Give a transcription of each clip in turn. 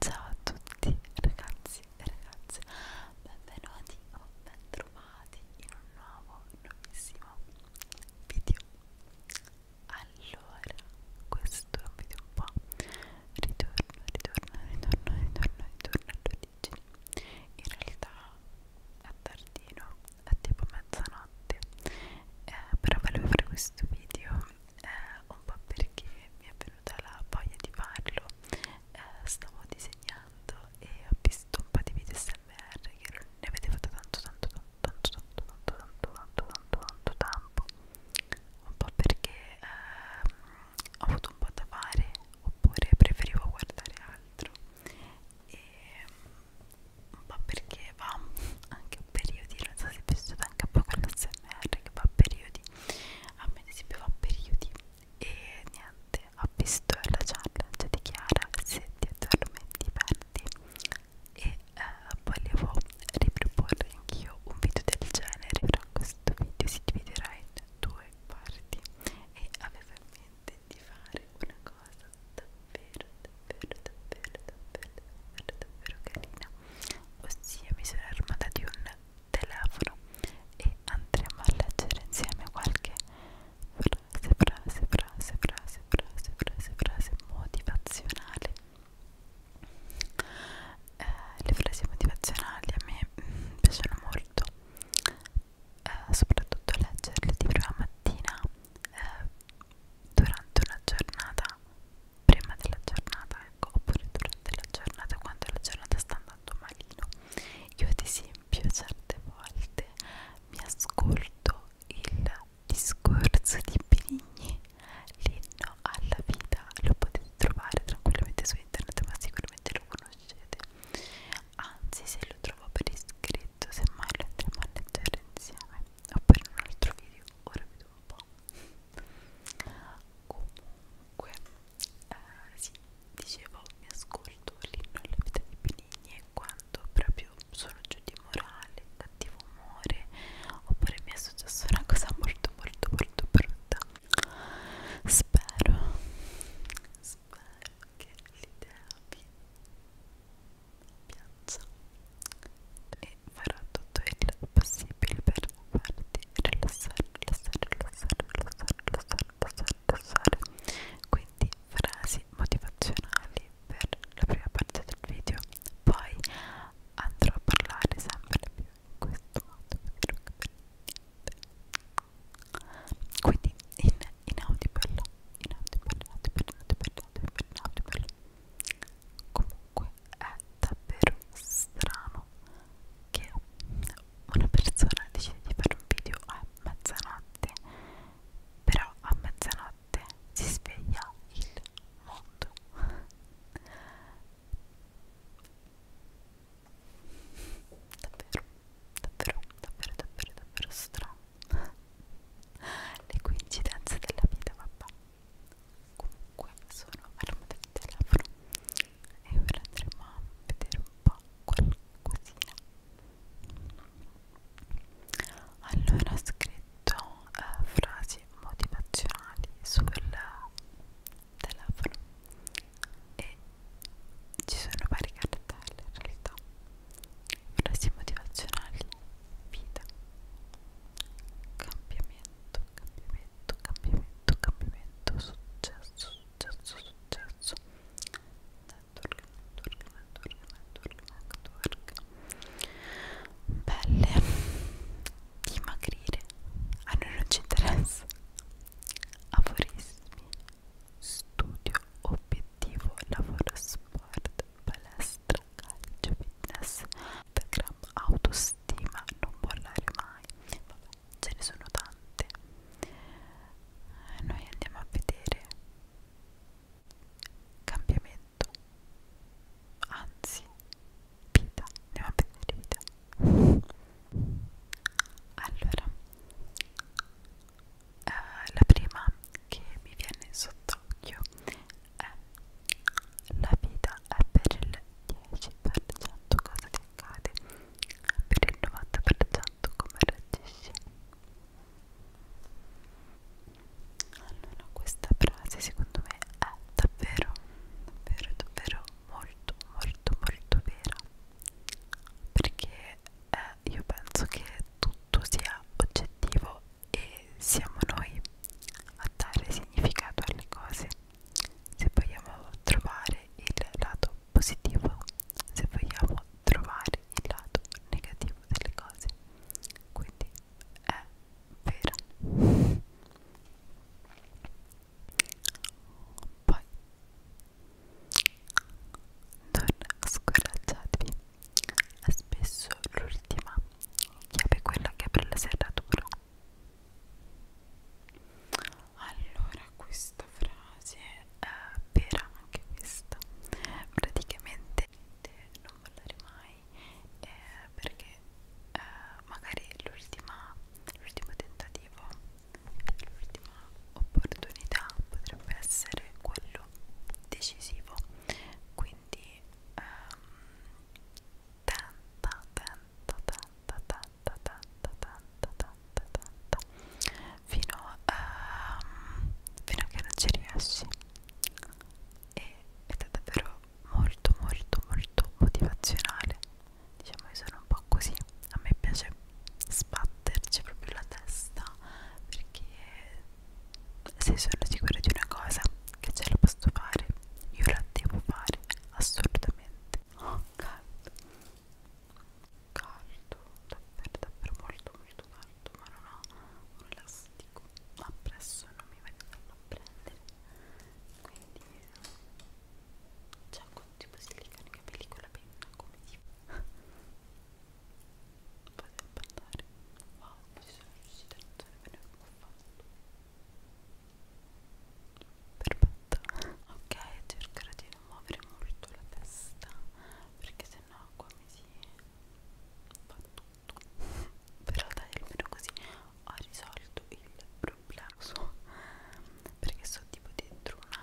Ciao a tutti ragazzi e ragazze, benvenuti o bentrovati in un nuovo, nuovissimo video Allora, questo è un video qua Ritorno, ritorno, ritorno, ritorno, ritorno all'origine In realtà è tardino, è tipo mezzanotte eh, Però volevo fare questo video eh, un po' perché mi è venuta la voglia di farlo eh, stavo disegnando e ho visto un po' di video smr che non ne avete fatto tanto tanto tanto tanto tanto tanto tanto tanto tanto tanto un po' perché eh, ho avuto un po' da fare oppure preferivo guardare altro e un po' perché va anche un periodo non so se è vissuto anche un po' con la ASMR che fa periodi a me ad esempio fa periodi e niente ho visto la challenge di Chiara se ti addormenti perdi e eh, volevo riproporre anch'io un video del genere però questo video si dividerà in due parti e avevo in mente di fare una cosa davvero davvero davvero davvero davvero davvero carina ossia mi sono armata di un telefono e andremo a leggere insieme qualche frase, frase, frase, frase, frase, frase, frase motivazionale. Eh, le frasi motivazionali a me mh, mm, piacciono molto, eh, soprattutto leggerle di prima mattina eh, durante una giornata prima della giornata ecco, oppure durante la giornata quando la giornata sta andando malino io ad esempio certe volte mi ascolto il discorso di Benigni l'inno alla vita lo potete trovare tranquillamente su internet ma sicuramente lo conoscete anzi se lo trovo per iscritto semmai lo andremo a leggere insieme o per un altro video ora vedo un po' comunque eh, sì dicevo mi ascolto l'inno alla vita di Benigni quando proprio sono giù di morale cattivo umore oppure mi è successa una cosa molto molto molto brutta spero spero che l'idea vi piazza e farò tutto il possibile per farti rilassare, rilassare, rilassare, rilassare, rilassare, rilassare, rilassare. quindi frasi motivazionali per la prima parte del video poi andrò a parlare sempre più in questo modo quindi in, in audible in audible, audible, audible, audible, audible, audible comunque è davvero strano che una persona decide di fare un video a mezzanotte però a mezzanotte si sveglia il mondo davvero davvero davvero davvero davvero strano le coincidenze della vita vabbè comunque sono fermo del telefono e ora andremo a vedere un po' qualcosina allora ho scritto eh, frasi motivazionali sul telefono e ci sono vari cartelli in realtà frasi motivazionali vita cambiamento cambiamento cambiamento cambiamento successo successo successo network network network network network pelle dimagrire a noi non ci interessa aforismi studio obiettivo lavoro sport palestra calcio, fitness, Instagram, autostima, non mollare mai, vabbè, ce ne sono tante. Noi andiamo a vedere cambiamento, anzi, vita, andiamo a vedere vita. Allora, eh, la prima che mi viene sott'occhio è la vita è per il 10% cosa ti accade per il 90% come reagisci allora questa frase secondo me è davvero davvero davvero molto molto molto vera perché eh, io penso che tutto sia oggettivo e siamo noi a dare significato alle cose se vogliamo trovare il lato positivo se vogliamo trovare il lato negativo delle cose quindi è vero poi non scoraggiatevi è spesso l'ultima chiave quella che apre la serratura allora questa frase è vera anche questa praticamente non parlare mai eh, perché eh, magari l'ultima l'ultimo tentativo l'ultima opportunità potrebbe essere quello decisivo quindi ehm, tenta tenta tenta tenta tenta tenta tenta tenta fino, ehm, fino a che non ci riesci e, ed è davvero molto molto molto motivazionale diciamo io sono un po' così a me piace sbatterci proprio la testa perché se sono sicura di una cosa che ce la posso fare io la devo fare assolutamente oh caldo caldo davvero davvero molto molto caldo ma non ho un elastico appresso non mi va a prendere quindi c'è un tipo si legano i capelli con la penna come tipo potrebbe andare wow ci sono riuscita non sarebbe neanche fatto perfetto ok cercherò di non muovere molto la testa perché sennò qua mi si fa tutto però dai almeno così ho risolto il problema perché sto tipo dentro una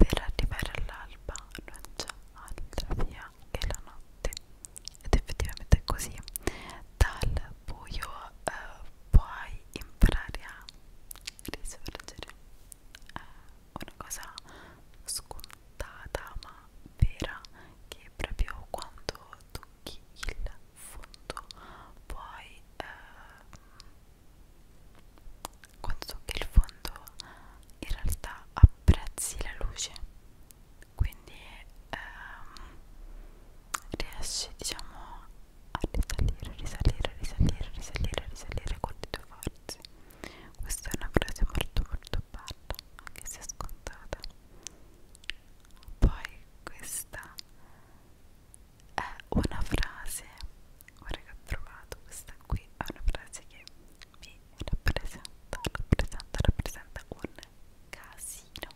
per arrivare all'alba non c'è altra via che la notte ed effettivamente è così. Dal buio eh, puoi imparare a risorgere. È una cosa scontata ma vera che proprio quando tocchi il fondo puoi eh, quando tocchi il fondo in realtà apprezzi la luce quindi ehm, riesci diciamo a risalire risalire risalire risalire risalire con le tue forze questa è una frase molto molto bella anche se scontata poi questa è una frase ora oh, che ho trovato questa qui è una frase che mi rappresenta rappresenta rappresenta un casino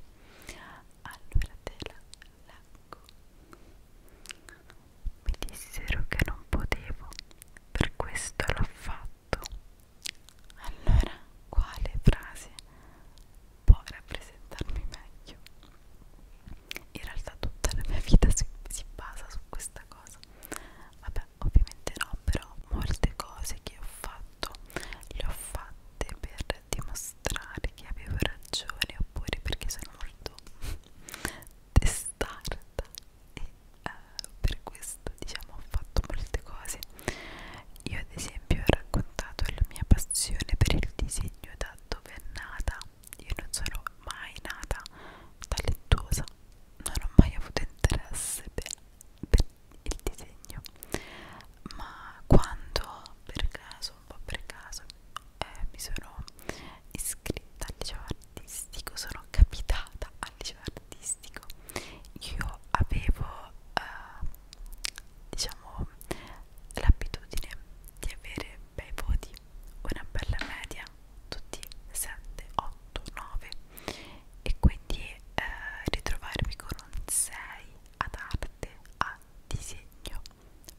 allora te la leggo mi dissero che non potevo per questo l'ho fatto allora quale frase può rappresentarmi meglio in realtà tutta la mia vita si, si basa su questa cosa vabbè ovviamente no però molte cose che ho fatto le ho fatte per dimostrare che avevo ragione oppure perché sono molto testarda e eh, per questo diciamo ho fatto molte cose io ad esempio ho raccontato la mia passione per il disegno da dove è nata io non sono mai nata talentuosa, non ho mai avuto interesse per, per il disegno, ma quando per caso, un po' per caso, eh, mi sono iscritta al liceo artistico, sono capitata al liceo artistico, io avevo eh, diciamo l'abitudine di avere bei voti una bella media tutti 7, 8, 9 e quindi eh, ritrovarmi con un 6 ad arte, a disegno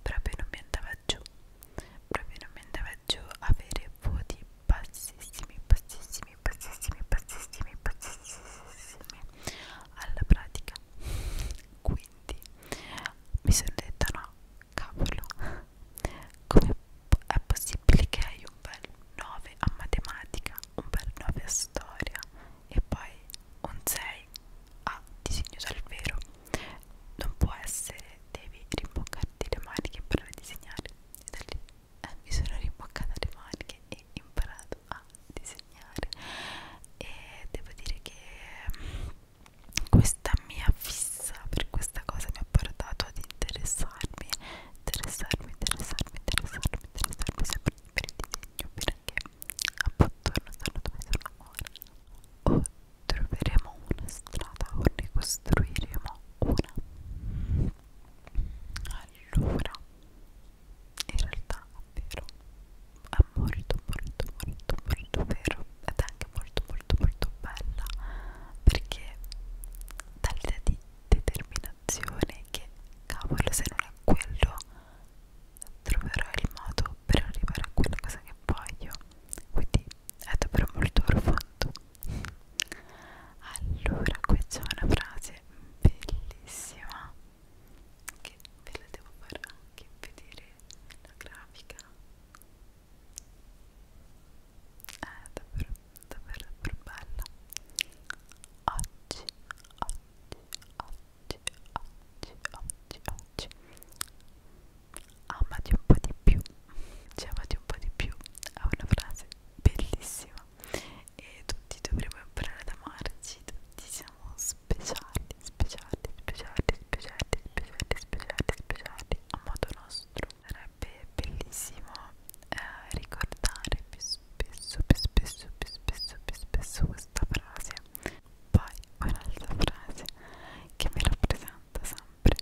proprio non mi andava giù proprio non mi andava giù avere voti bassissimi, bassissimi, bassissimi, bassissimi, bassissimi alla pratica qui quindi mi sono detta no cavolo come è possibile che hai un bel 9 a matematica un bel 9 a storia e poi un 6 a disegno dal vero non può essere devi rimboccarti le maniche per disegnare e da lì eh, mi sono rimboccata le maniche e imparato a disegnare e devo dire che questa mia fissa per questa cosa mi ha portato ad interessarmi interessarmi, interessarmi, interessarmi, interessarmi sempre di per il disegno perché appunto non sanno dove sono ora o troveremo una strada o ne costruiremo una allora in realtà è vero è molto molto molto molto vero ed è anche molto molto molto bella perché dà l'idea di determinazione che cavolo se non è quello troverò il modo per arrivare a quella cosa che voglio quindi è davvero molto profondo allora qui c'è una frase bellissima che ve la devo far anche vedere la grafica è davvero davvero davvero bella oggi oggi oggi oggi oggi oggi amati un po' di più cioè amati un po' di più è una frase bellissima e tutti dovremmo imparare ad amarci tutti ci siamo speciali, speciali, speciali, speciali, speciali, speciali, speciali a modo nostro. Sarebbe bellissimo eh, ricordare più spesso, più spesso, più spesso, più spesso questa frase. Poi un'altra frase che mi rappresenta sempre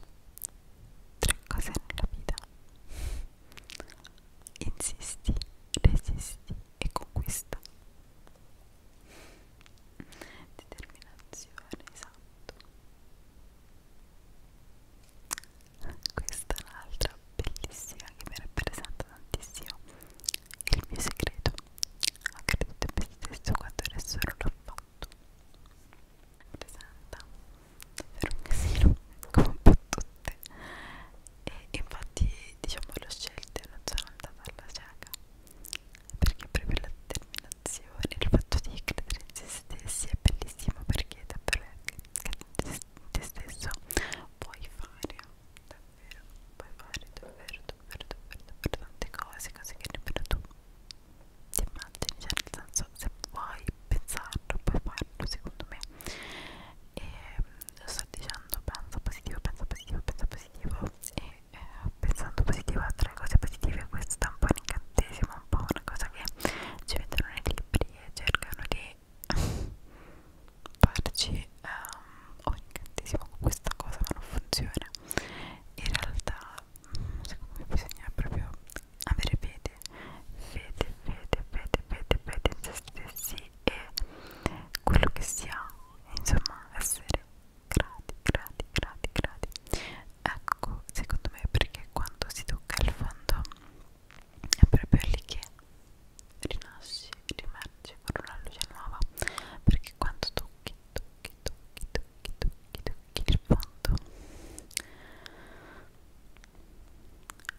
tre cose nella vita. Insisti, resisti e conquista determinazione esatto questa è un'altra bellissima che mi rappresenta tantissimo il mio segreto ho creduto in me stesso quando nessuno l'ha fatto mi rappresenta davvero un casino come un po' tutte e infatti diciamo l'ho scelta e non sono andata alla cieca perché proprio la determinazione il fatto di credere in se stessi è bellissimo perché davvero credere in te stesso puoi fare davvero puoi fare davvero davvero davvero, davvero tante cose cose che nemmeno tu ti immagini cioè nel senso se vuoi pensarlo puoi farlo secondo me e sto dicendo pensa positivo, pensa positivo, pensa positivo e eh, pensando positivo a tre cose positive questo è un po' un incantesimo, un po' una cosa che ci mettono nei libri e cercano di farci um, ehm, un oh, incantesimo con questa cosa ma non funziona in realtà secondo me bisogna proprio avere fede fede, fede, fede, fede, fede in se stessi e quello che si ha insomma essere grati grati grati grati ecco secondo me perché quando si tocca il fondo è proprio lì che rinasci rimergi con una luce nuova perché quando tocchi tocchi tocchi tocchi tocchi tocchi il fondo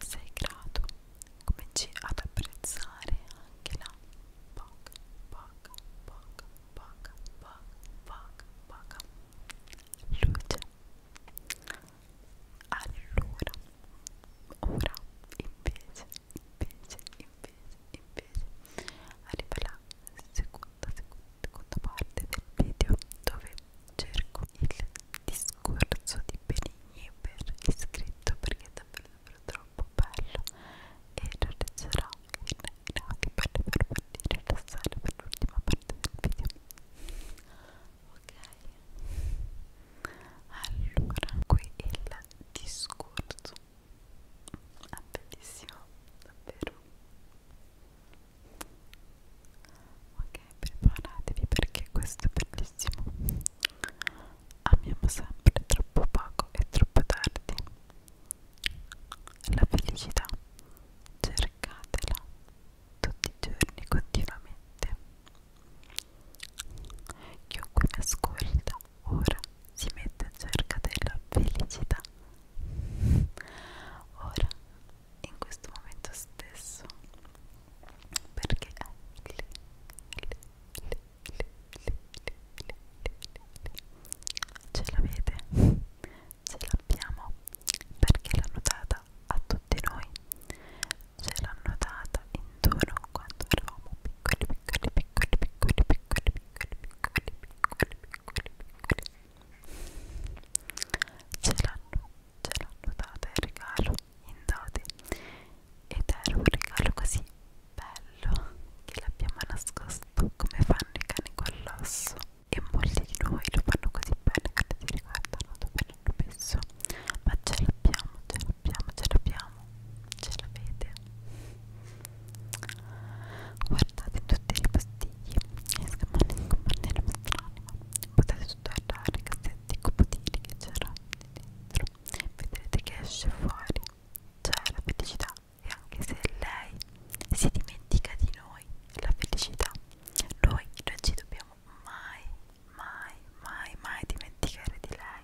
sei grato cominci ad apprezzare anche la poca, poca, poca, poca, poca, poca, poca luce allora, ora invece, invece, invece, invece arriva la seconda, seconda, seconda parte del video dove cerco il discorso di Benigno per iscritto perché è davvero, davvero troppo bello e lo leggerò in, in anche per farvi rilassare per l'ultima parte del video ok allora qui il discorso è ah, bellissimo davvero ok preparatevi perché questo è bellissimo amiamo sempre troppo poco e troppo tardi la felicità cercatela tutti i giorni continuamente chiunque mi ascolta ora si mette in cerca della felicità ora in questo momento stesso perché è lì, lì, lì, lì, lì, lì, lì. ce l'avete? ce l'abbiamo perché l'hanno data a tutti noi ce l'hanno data intorno quando eravamo piccoli piccoli piccoli piccoli piccoli piccoli piccoli piccoli piccoli piccoli ce l'hanno l'hanno data il regalo in dote ed era un regalo così bello che l'abbiamo nascosto come fanno i cani con l'osso e molti di noi lo fanno così bene che non si ricordano dove l'hanno messo ma ce l'abbiamo, ce l'abbiamo, ce l'abbiamo ce l'avete guardate tutti i ripostigli escono nel vostro animo potete tutto che se di copotini che c'erano dentro vedrete che esce fuori c'è la felicità e anche se lei si dimentica di noi la felicità noi non ci dobbiamo mai mai mai mai dimenticare di lei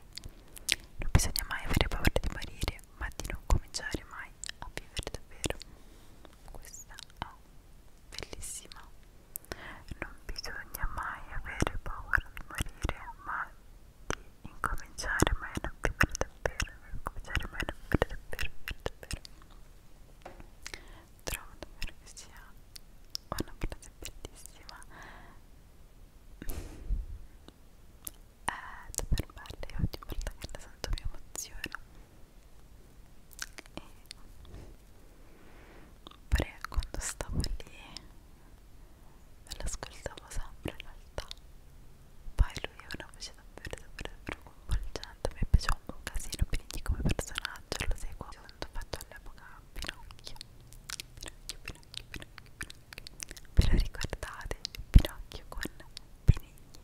non bisogna mai avere paura di morire ma di non cominciare mai a vivere davvero questa è bellissima non bisogna mai avere paura di morire ma di incominciare mai a vivere davvero incominciare mai a vivere davvero, davvero, davvero trovo davvero che sia una frase bellissima è eh, davvero bella io ogni volta che la sento mi emoziono e quando stavo lì me l'ascoltavo sempre in realtà poi lui ha una voce davvero davvero davvero coinvolgente mi piaceva un casino quindi come personaggio lo seguo quando ho fatto all'epoca Pinocchio Pinocchio Pinocchio Pinocchio Pinocchio ve lo ricordate Pinocchio con Benigni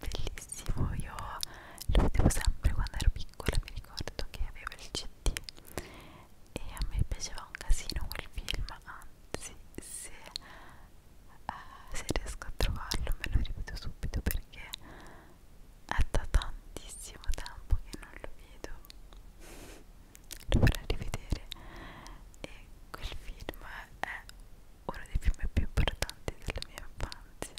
bellissimo io lo vedevo sempre quando ero piccola mi ricordo che aveva il cd e a me piaceva un casino quel film anzi se, uh, se riesco a trovarlo me lo ripeto subito perché è da tantissimo tempo che non lo vedo lo vorrei rivedere e quel film è uno dei film più importanti della mia infanzia